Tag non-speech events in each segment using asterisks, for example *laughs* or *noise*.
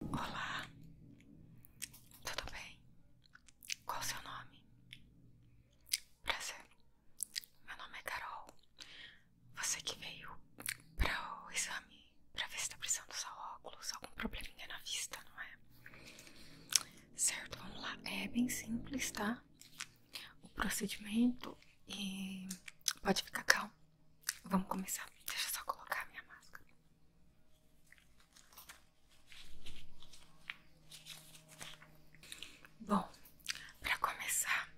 Olá, tudo bem? Qual o seu nome? Prazer, meu nome é Carol. Você que veio para o exame para ver se está precisando usar óculos, algum probleminha na vista, não é? Certo, vamos lá. É bem simples, tá? O procedimento e pode ficar calmo. Vamos começar. Deixa eu só colocar a minha máscara. Bom, para começar,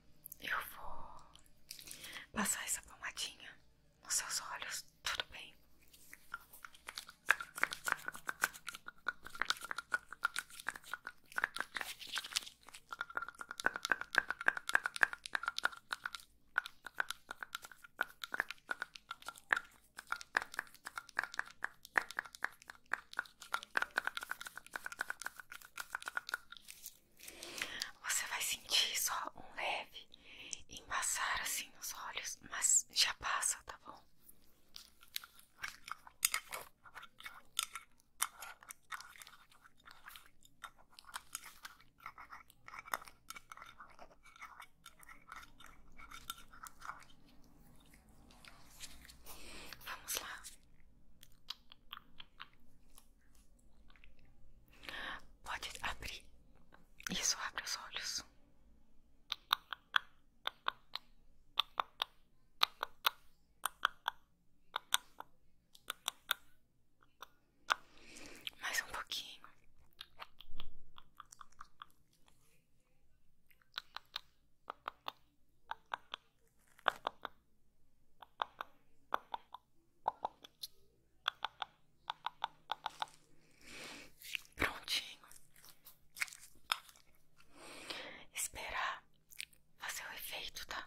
eu vou passar essa pomadinha nos seus olhos, tudo bem? Você vai sentir só um leve embaçar assim nos olhos, mas já passa, tá bom? Vamos lá. Pode abrir. Isso abre os olhos. Mais um pouquinho. Prontinho. Esperar fazer o efeito, tá?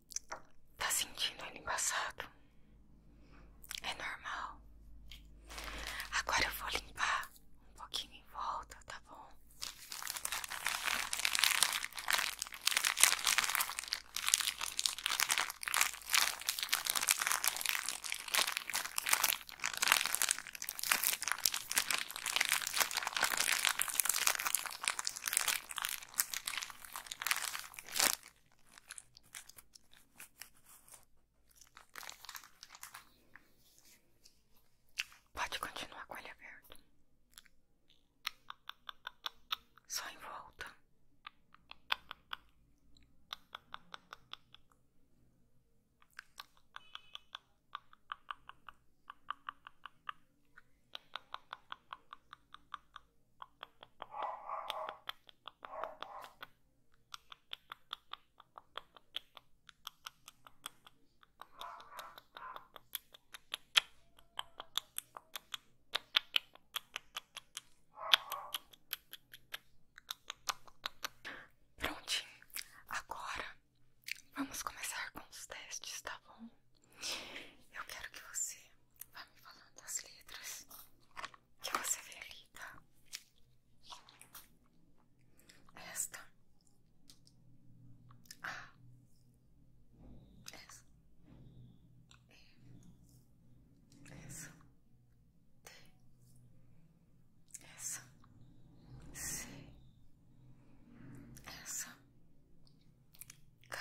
Tá sentindo ele embaçado? É normal. Agora eu vou limpar um pouquinho em volta, tá bom? Pode continuar com ele aberto. Só em volta. Prontinho, agora vamos começar com os testes, tá bom? Eu quero que você vá me falando das letras que você vê ali, tá? Esta. A. Essa. E. Essa. T. Essa. C. Essa. K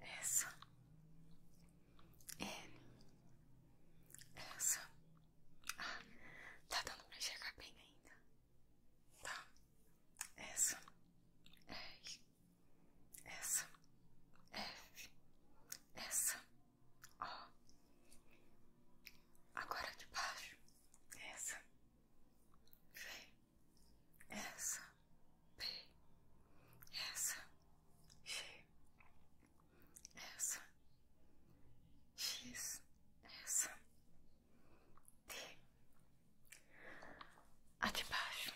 essa N essa ah, tá dando pra enxergar bem ainda tá essa R essa F essa ó agora de baixo essa V essa P, essa G, essa X, essa T, a de baixo,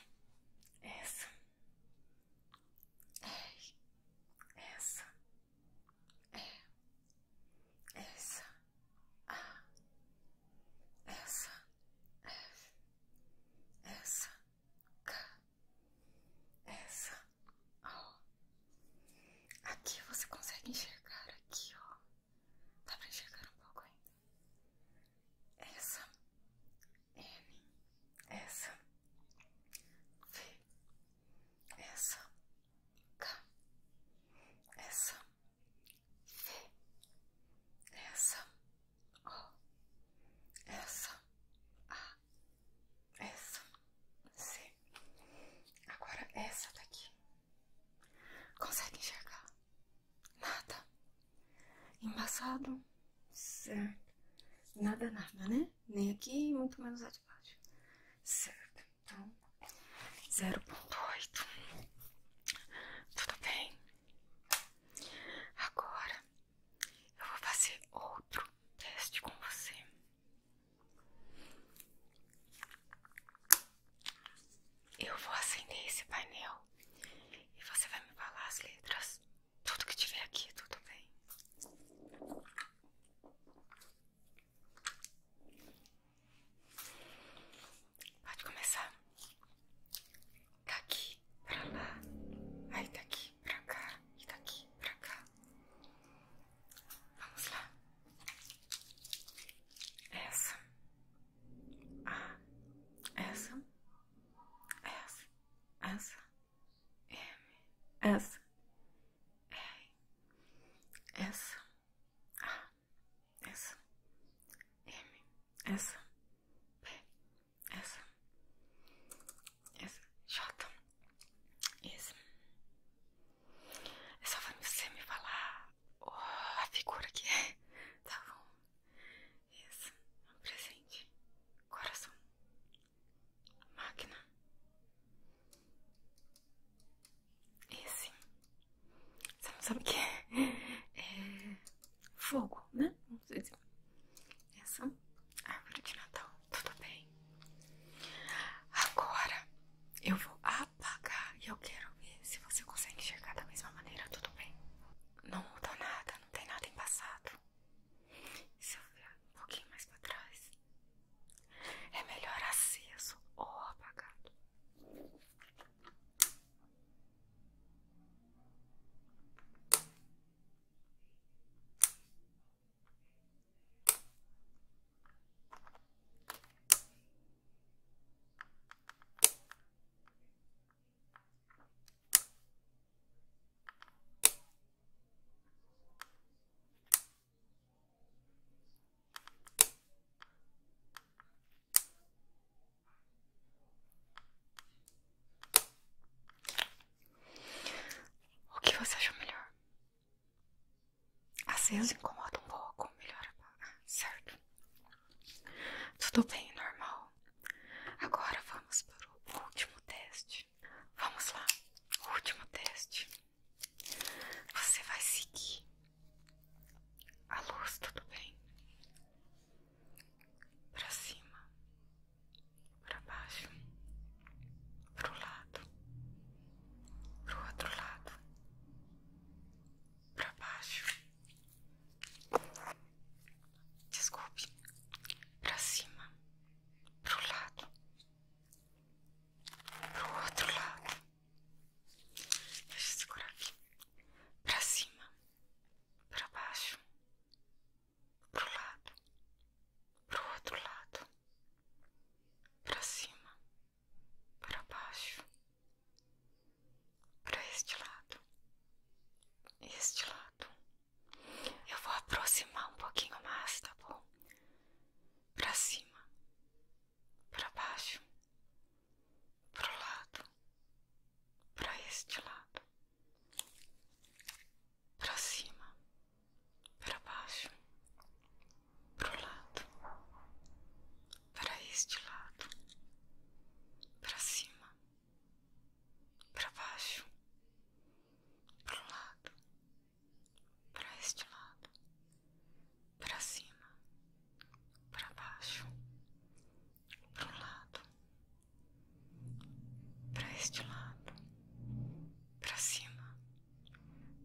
essa R, essa E essa, a ah. essa, f, essa, k, essa, o Aqui você consegue enxergar aqui, ó. Dá pra enxergar um pouco ainda. Essa, n, essa, v, essa, k essa, v essa, o essa, a, essa, c. Agora essa daqui. Consegue enxergar? Nada. Embaçado? Certo. Nada, nada, né? Nem aqui, muito menos a de baixo. Certo. Então, 0.8. Tudo bem? Agora eu vou fazer outro teste com você. Eu vou acender esse painel e você vai me falar as letras, tudo que tiver aqui, tudo bem? Pode começar. Daqui tá pra lá, aí daqui tá pra cá e daqui tá pra cá. Vamos lá. Essa. Ah, essa. Essa. Essa. M. Essa. R. Essa. A essa, M, essa, P, essa, essa, J, esse. É só você me falar a figura que é, tá bom? isso um presente, coração, máquina. E assim, você não sabe o que é? É fogo, né? Assim. Essa árvore de Natal, tudo bem. Agora eu vou apagar e eu quero ver se você consegue enxergar da mesma maneira, tudo bem. Não mudou nada, não tem nada em passado. Se eu vier um pouquinho mais pra trás, é melhor acesso, ou apagado. O que você acha melhor? As vezes incomoda um pouco, melhor apagar, certo? Tudo bem, normal. Agora vamos para o último teste. Vamos lá, último teste. Você vai seguir a luz, tudo bem? Para cima, para baixo, para o lado, para o outro lado, para baixo. Desculpe, para cima, para o lado, pro outro lado. Deixa eu segurar aqui. Pra cima, pra baixo, pro lado, pro outro lado, pra cima, pra baixo, pra este lado, este lado. Eu vou aproximar um pouquinho mais, tá bom? para cima, para baixo, pro lado, para este lado, para cima, para baixo, pro lado, para este lado, para cima, para baixo, pro lado para este lado, para cima, para baixo, para um lado, para este lado, para cima,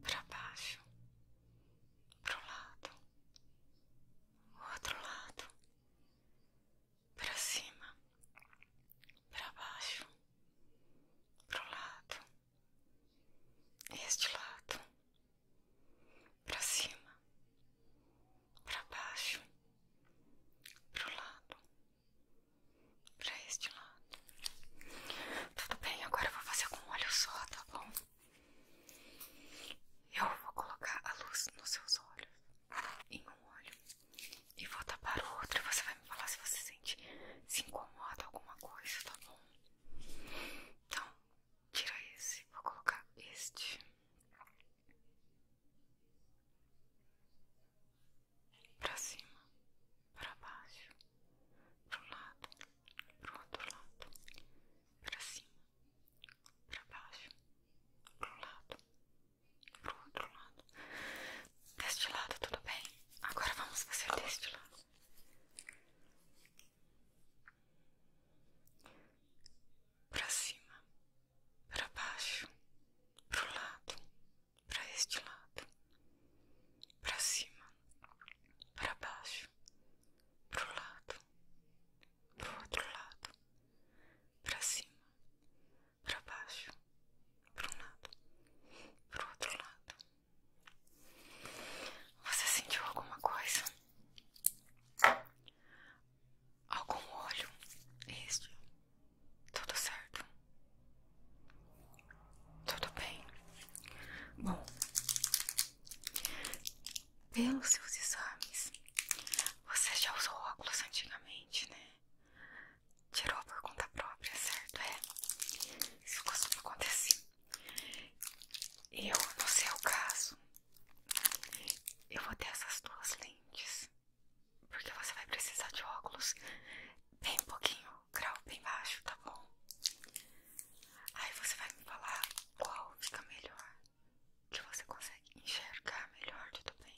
para baixo, para um lado, outro lado, para cima, para baixo, para o lado este lado, para cima, para baixo, para o lado, para este lado. Tudo bem, agora eu vou fazer com um olho só, tá bom? Eu vou colocar a luz nos seus olhos em um olho e vou tapar o outro e você vai me falar se você sente, se incomoda alguma coisa, tá bom? Então, tira esse, vou colocar este. Pra cima, pra baixo, pro lado, pro outro lado, pra cima, pra baixo, pro lado, pro outro lado. Deste lado, tudo bem? Agora vamos fazer deste lado. Para cima, para baixo, para o lado, para este lado. Para cima, para baixo, para pro lado, pro outro lado. para cima, pra baixo, para um lado, para o outro lado. Você sentiu alguma coisa? Algum olho? Este? Tudo certo? Tudo bem? Bom, pelos seus exames, você já usou óculos antigamente, né? tirou por conta própria, certo? É, isso costuma acontecer. Eu, no seu caso, eu vou ter essas duas lentes, porque você vai precisar de óculos bem pouquinho, grau bem baixo, tá bom? Aí você vai me falar qual fica melhor, que você consegue enxergar melhor, de tudo bem?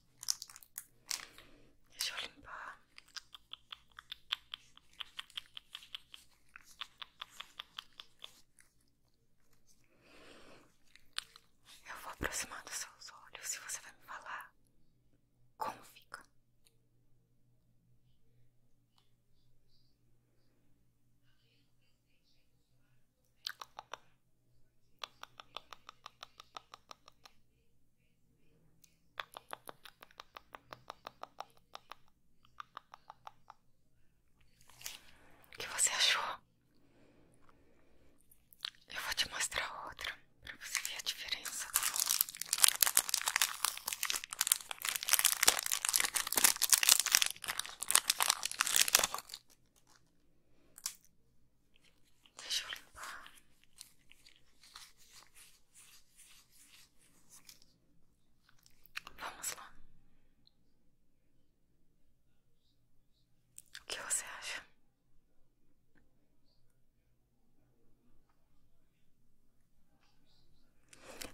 Deixa eu limpar. Eu vou aproximar dos seus olhos e você vai me falar como fica. O que você achou? Eu vou te mostrar outra para você ver a diferença, tá Deixa eu limpar. Vamos lá. O que você acha?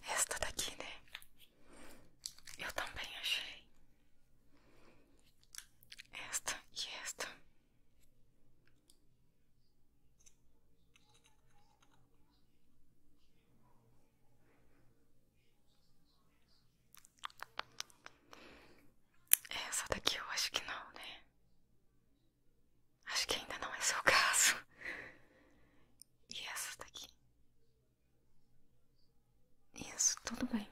Esta daqui, né? Eu também achei. Esta e esta é, essa daqui eu acho que não, né? Acho que ainda não é seu *laughs* caso. E essa daqui? Isso, tudo bem.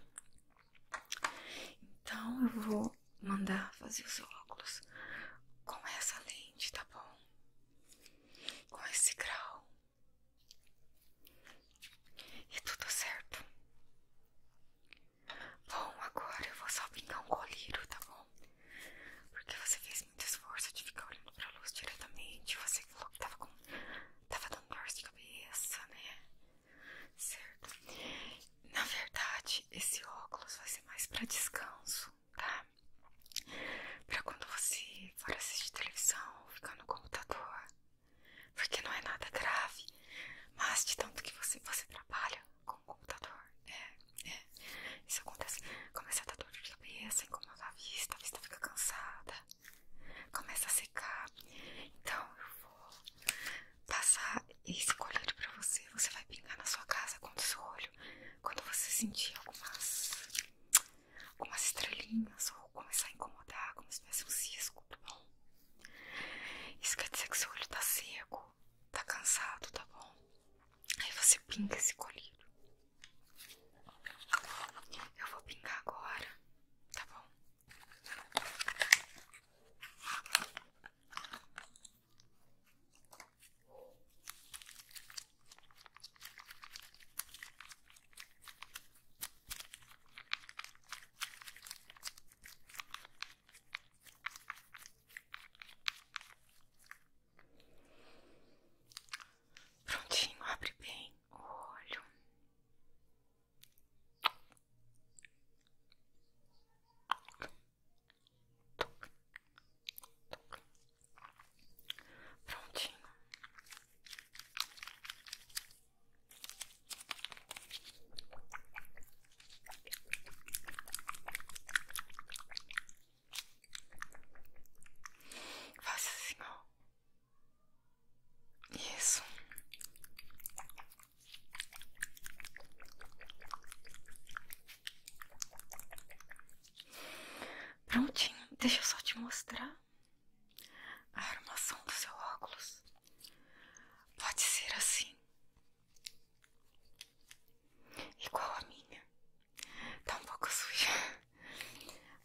Então eu vou mandar fazer os óculos com essa lente, tá bom? Com esse grau. E tudo certo. Bom, agora eu vou só pintar um colírio, tá bom? Porque você fez muito esforço de ficar olhando pra luz diretamente. Você falou que tava, com, tava dando dor de cabeça, né? certo? Na verdade, esse óculos vai ser mais para descanso, tá? Pra quando você for assistir televisão, ficar no computador, porque não é nada grave, mas de tanto que você, você trabalha com o computador, é, é, isso acontece, começa a dar dor de cabeça, incomoda a vista, a vista fica cansada, começa a secar, então eu vou passar esse colírio pra você. Você vai pingar na sua casa quando seu olho. Quando você sentir algumas, algumas estrelinhas ou começar a incomodar, como se tivesse um cisco, tá bom? Isso quer dizer que seu olho tá seco, tá cansado, tá bom? Aí você pinga esse colírio. Eu vou pingar agora, tá bom? Prontinho, abre bem o olho. Prontinho. Faça assim, ó. Isso. Prontinho, deixa eu só te mostrar a armação do seu óculos. Pode ser assim, igual a minha. Tá um pouco suja,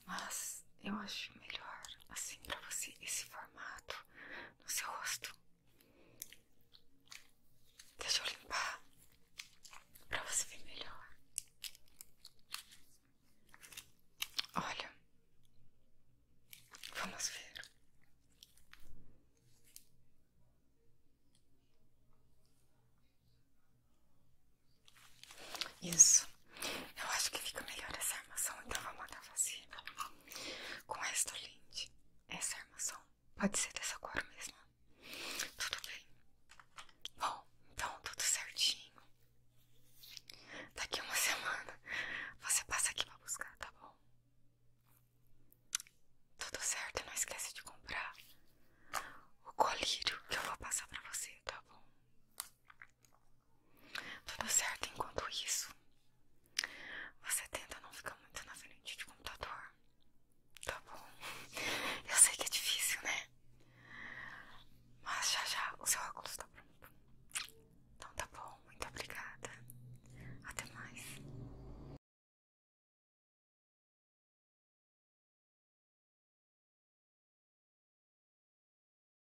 mas eu acho melhor assim para você esse formato no seu rosto. Deixa eu limpar para você ver melhor. Olha, vamos ver. Isso. Eu acho que fica melhor essa armação, então vou mandar fazer com esta lente. Essa armação pode ser dessa cor mesmo. Tudo bem. Bom, então tudo certinho. Daqui uma semana você passa aqui pra buscar, tá bom? Tudo certo, não esquece de comprar o colírio que eu vou passar pra você, tá bom? Tudo certo enquanto isso. Você tenta não ficar muito na frente de computador. Tá bom. Eu sei que é difícil, né? Mas já já o seu óculos tá pronto. Então tá bom, muito obrigada. Até mais.